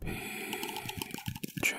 PJ Dreams.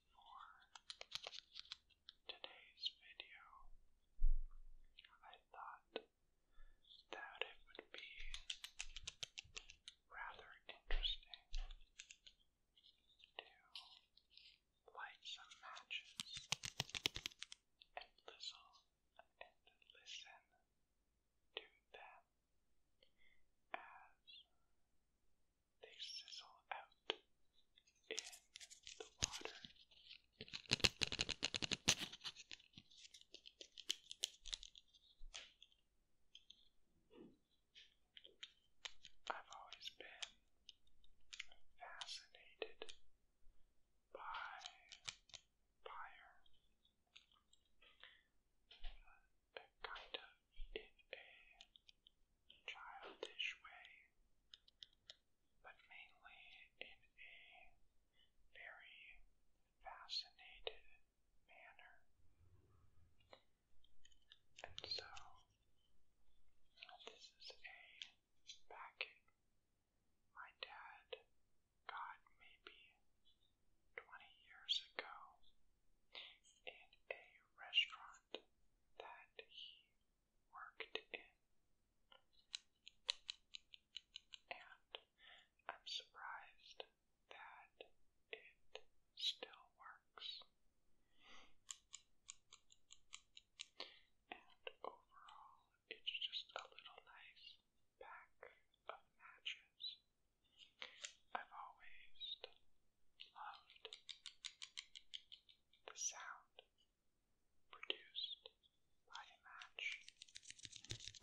for today's video. I thought that it would be rather interesting to light some matches and listen and listen to them as they sizzle out in the water. I've always been fascinated by fire kind of in a childish way, but mainly in a very fascinated manner. And so, this is a packet my dad got maybe 20 years ago in a restaurant that he worked in. And I'm surprised that it still works. And overall, it's just a little nice pack of matches I've always loved the sound produced by match,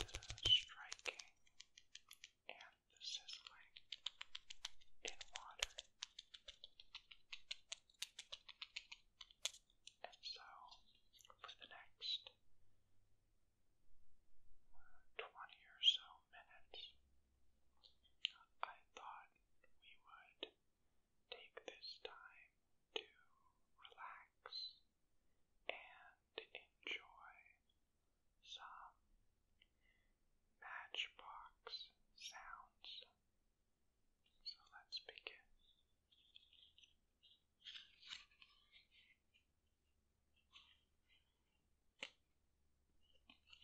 the striking and the sizzling in water. And so, for the next uh, 20 or so minutes, I thought we would take this time to relax and enjoy some matchbox sounds. So let's begin the match that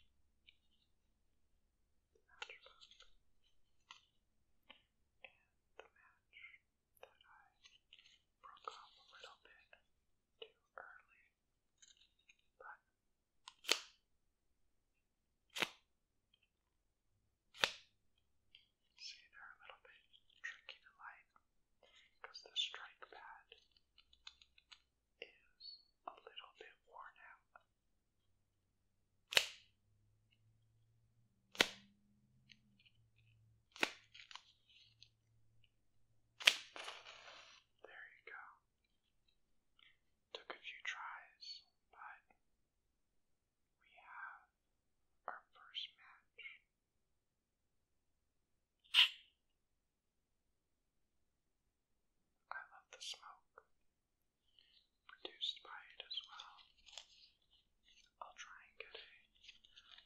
I broke off a little bit too early, but see they're a little bit tricky to light because the strike pad is a little bit worn out. There you go. Took a few tries, but we have our first match. I love the smoke produced by it as well. I'll try and get a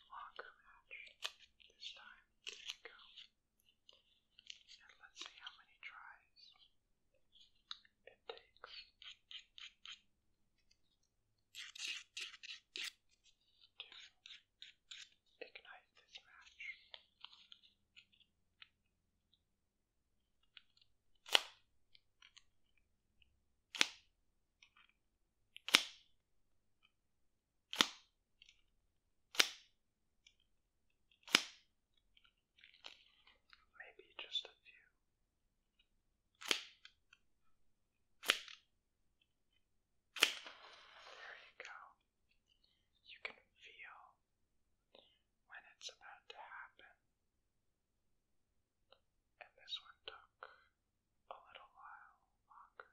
longer match this time. There you go. And let's see how many tries it takes to ignite this match. Maybe just a few. There you go. You can feel when it's about to happen. And this one took a little while longer.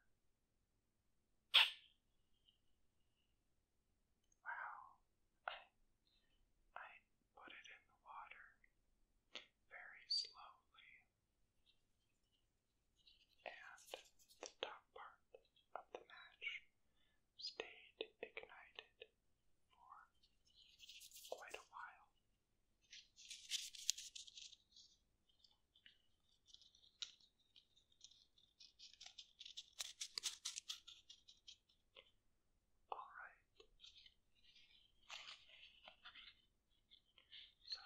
Wow, I, I put it in the water very slowly, and the top part of the match stayed ignited for quite a while. All right. So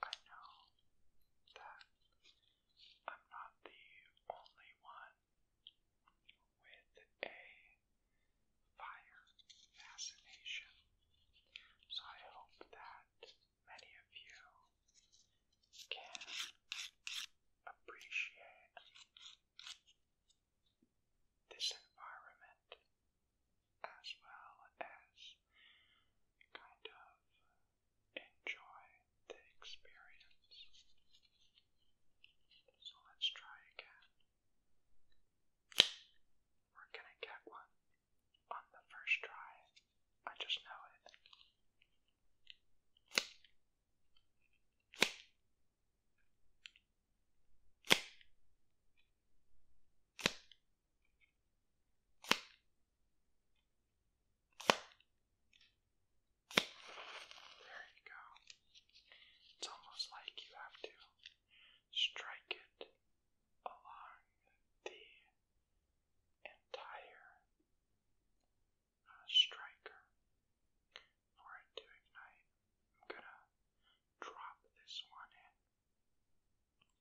I know that I'm not the only one with a fire fascination. So I hope that many of you can appreciate this environment as well as kind of enjoy the experience. So let's try again. We're gonna get one on the first try. I just know it. There you go. It's almost like you have to strike it along the entire uh, striker for it to ignite. I'm gonna drop this one in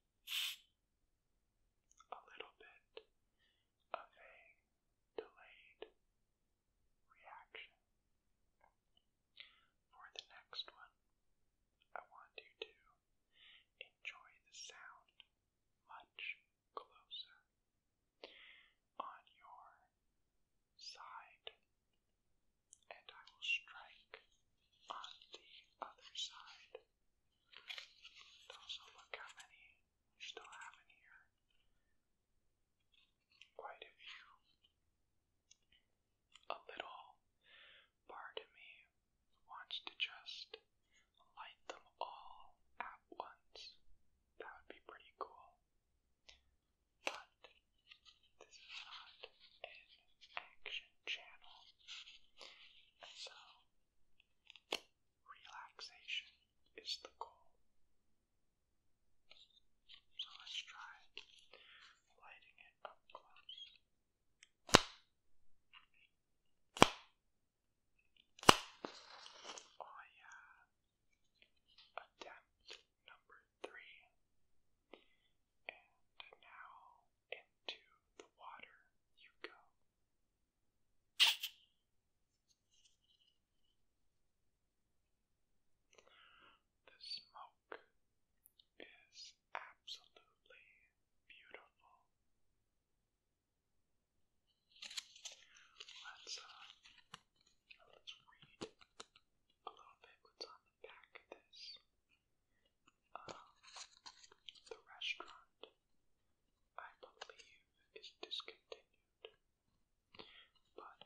a little bit of a delayed reaction. For the next one, I want you to enjoy the sound much closer on your side, and I will strike on the other side. also look how many we still have in here. Quite a few. A little part of me wants to just light them all at once. That would be pretty cool. But this is not an action channel. so, relaxation is the goal. So let's try lighting it up close. Oh yeah. Attempt number three. And now into the water you go. The smoke is absolutely beautiful. Let's uh, let's read a little bit what's on the back of this the restaurant, I believe, is discontinued, but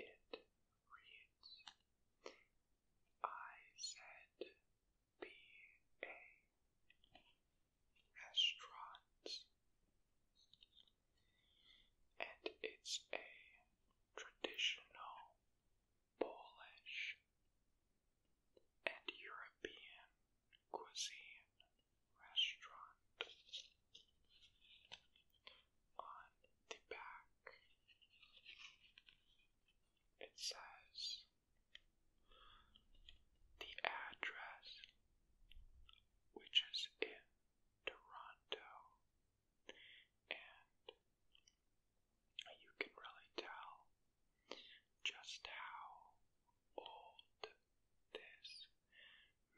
it reads I said be restaurant. And it's a traditional Polish, and European cuisine restaurant. On the back, it says the address, which is in Toronto, and you can really tell just how old this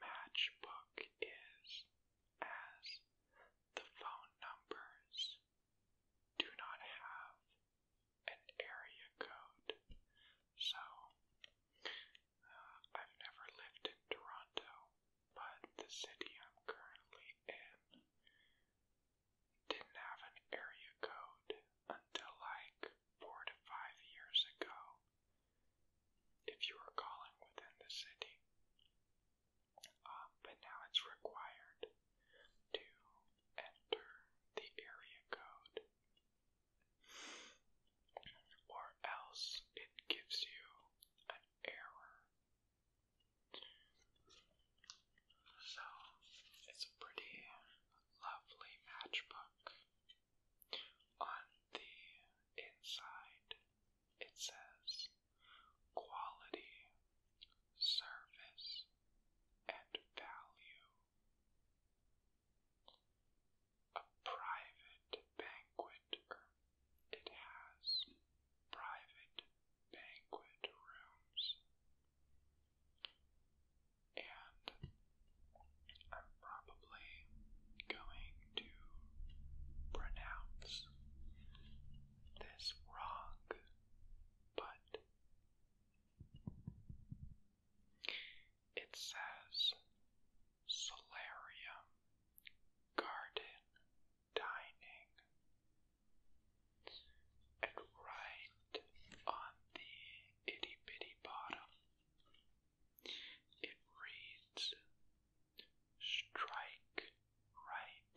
matchbook is as the phone numbers do not have an area code. So, uh, I've never lived in Toronto, but the city I'm currently in didn't have an area code until like four to five years ago. If you were calling within the city, um, but now it's required to enter the area code, or else it gives you an error so, it's a pretty lovely matchbook. On the inside, it says quality, service, and value. A private banquet, it has private banquet rooms. And I'm probably going to pronounce this wrong, but it says solarium garden dining. And right on the itty bitty bottom, it reads Strike Right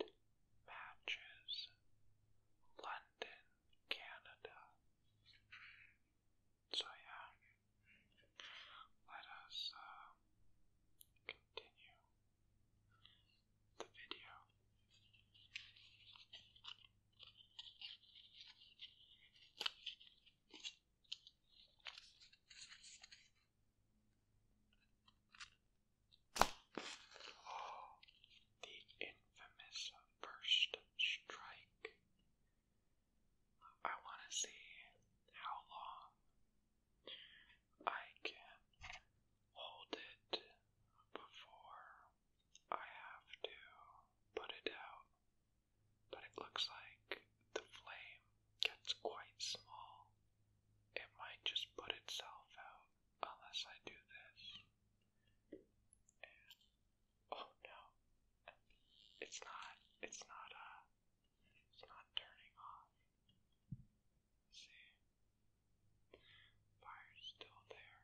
Matches, London, Canada. So, yeah, let us uh, continue the video. the infamous first strike. I want to see how long I can hold it before I have to put it out. But it looks like the flame gets quite small. It might just put itself out unless I do this. oh no. It's not it's not uh it's not turning off. See? Fire's still there.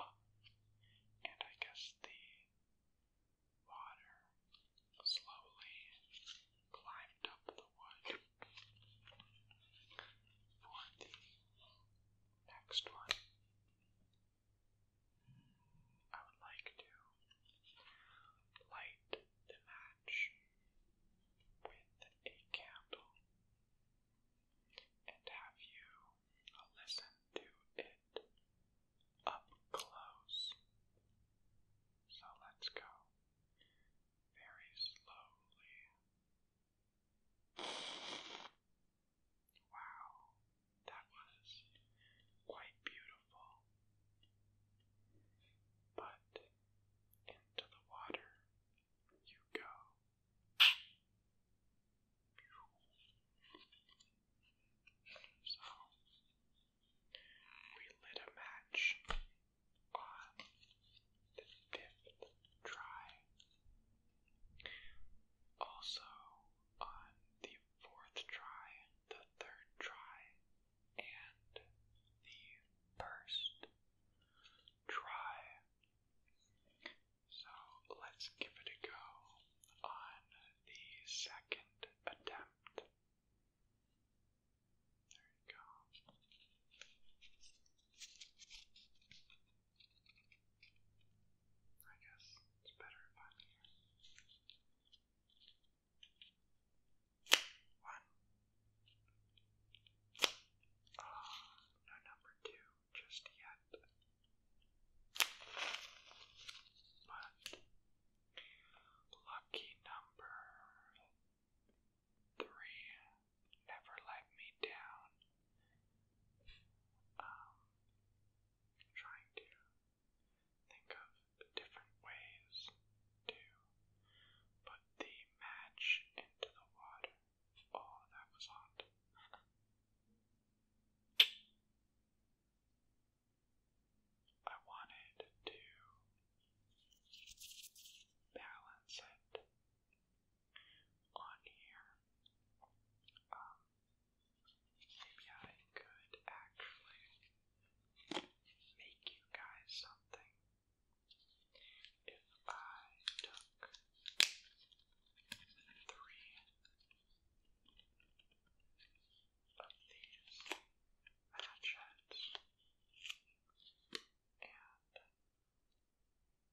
Oh, and I guess the water slowly climbed up the wood for the next one. I would like to light the match with a candle and have you uh, listen to it up close. So let's go very slowly. Wow, that was quite beautiful. But into the water you go. So we lit a match on the fifth try. Also on the fourth try, the third try, and the first try. So let's give it a go on the second attempt. There you go. I guess it's better if I'm here. One, uh, no number two just yet. But lucky number three never let me down. trying to think of different ways to put the a match into the water. Oh, that was hot. I wanted to balance it on here. Um, maybe I could actually make you guys something if I took three of these hatchets and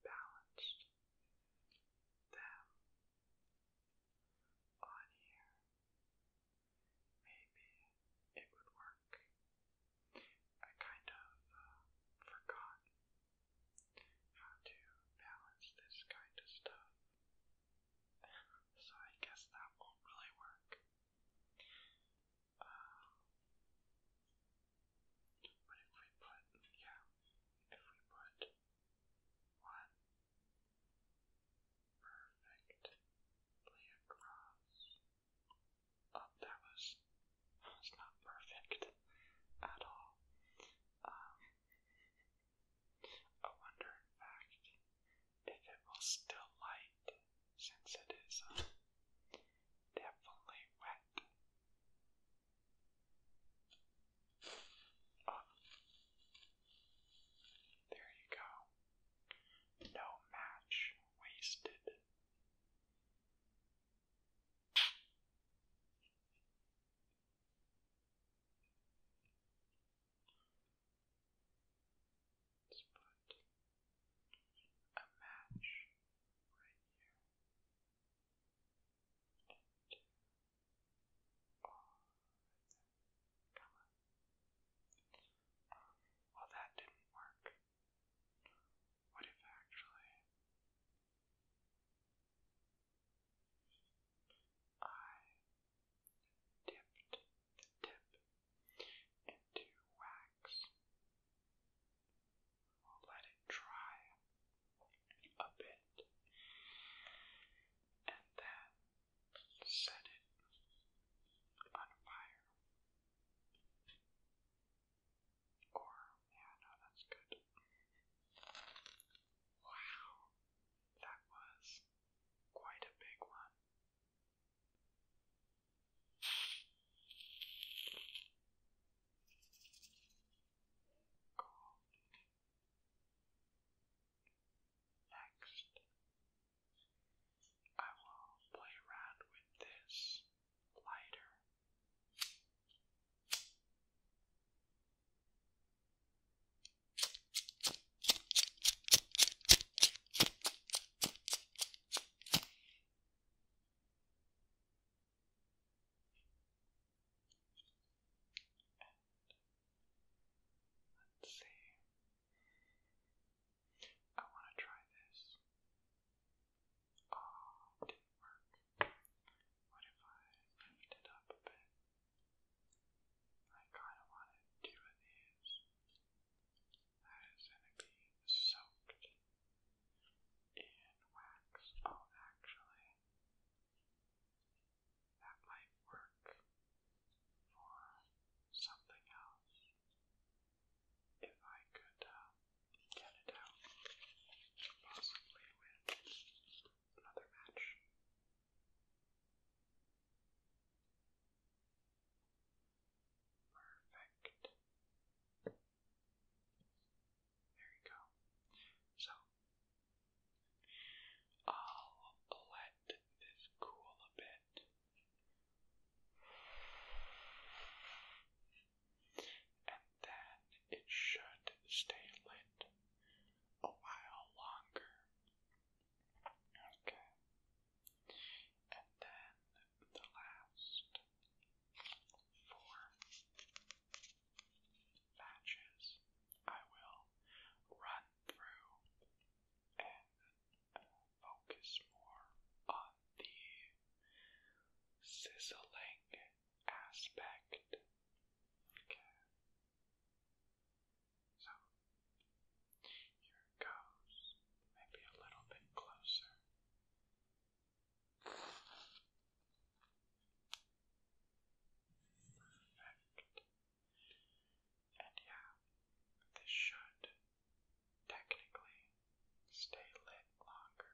balanced them on here, maybe it would work work. I kind of uh, forgot how to balance this kind of stuff. so I guess that won't really work. Uh, if we put, yeah, if we put one perfectly across um, that was was not perfect at all. Um, I wonder, in fact, if it will still light since it is uh, definitely wet. Um, there you go. No match wasted. Let's put a match right here. oh, Come on. well, that didn't work. What if actually I dipped the tip into wax? let it dry a bit and then set it on fire. Or, yeah, no, that's good. Wow, that was quite a big one. Cool. Next, I will play around with this lighter. let's see. I want to try this. Oh, it didn't work. What if I lift it up a bit? I kind of wanted two of these. That is going to be soaked in wax. Oh, actually, that might work for something else if I could uh, get it out, possibly with another match. Perfect. There you go. So, I'll let this cool a bit and then it should stay lit a while longer. Okay. And then the last four matches I will run through and focus more on the sizzling aspect. Okay. So here it goes. Maybe a little bit closer. Perfect. And yeah, this should technically stay lit longer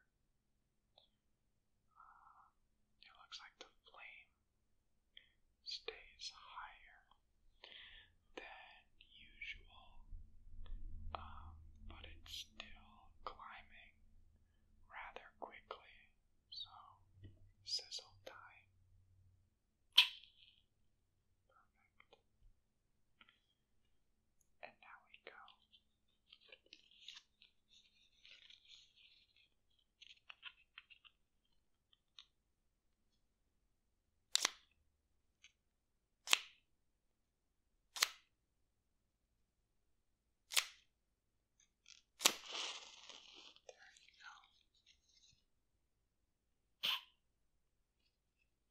it looks like the flame stays higher than usual, um, but it's still climbing rather quickly, so sizzle time. Perfect. And now we go. There you go.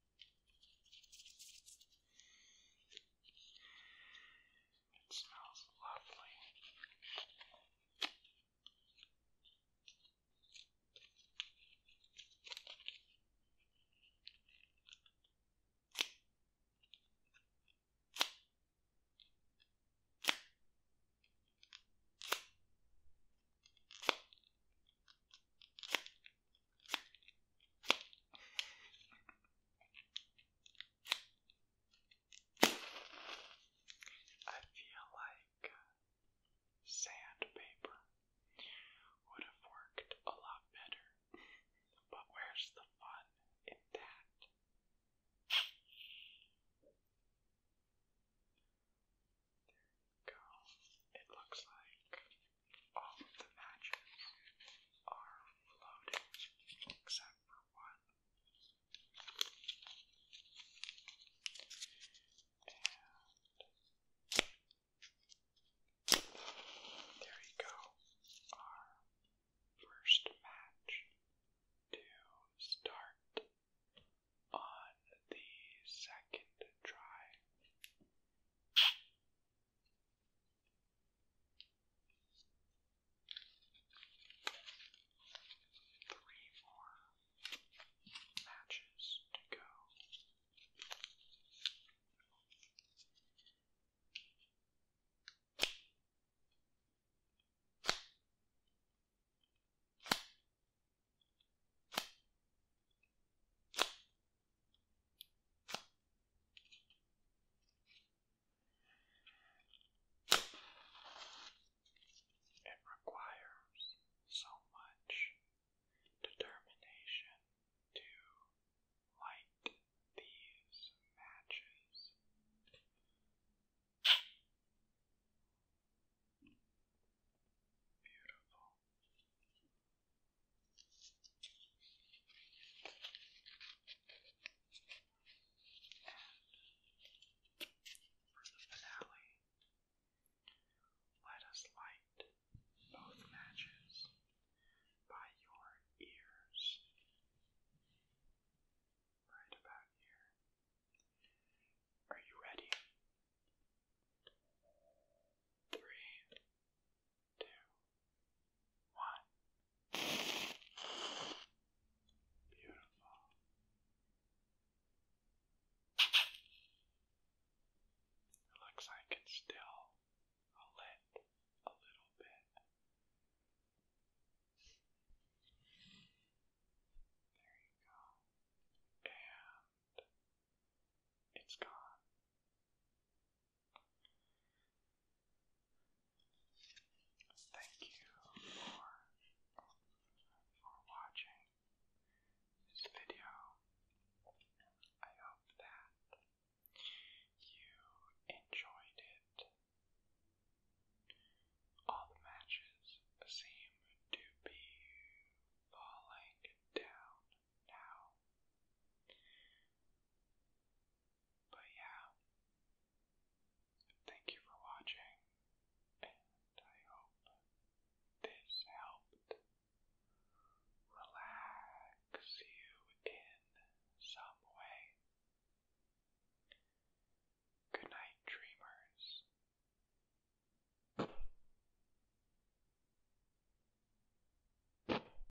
It smells lovely. I feel like sandpaper would have worked a lot better, but where's the fun in that? There you go. It looks like all of the matches are floating except for one. And there you go, our first match to start on the second try. Three more matches to go. It requires so much determination to light these matches. Beautiful. For the finale, let us light both matches by your ears. Right about here. Are you ready? Three, two, one. Beautiful. It looks like it's still lit a little bit. There you go. And it's gone. Thank you for, for watching this video. I hope that you enjoyed it. All the matches seem to be falling down but yeah, thank you for watching, and I hope this helped relax you in some way. Good night, dreamers.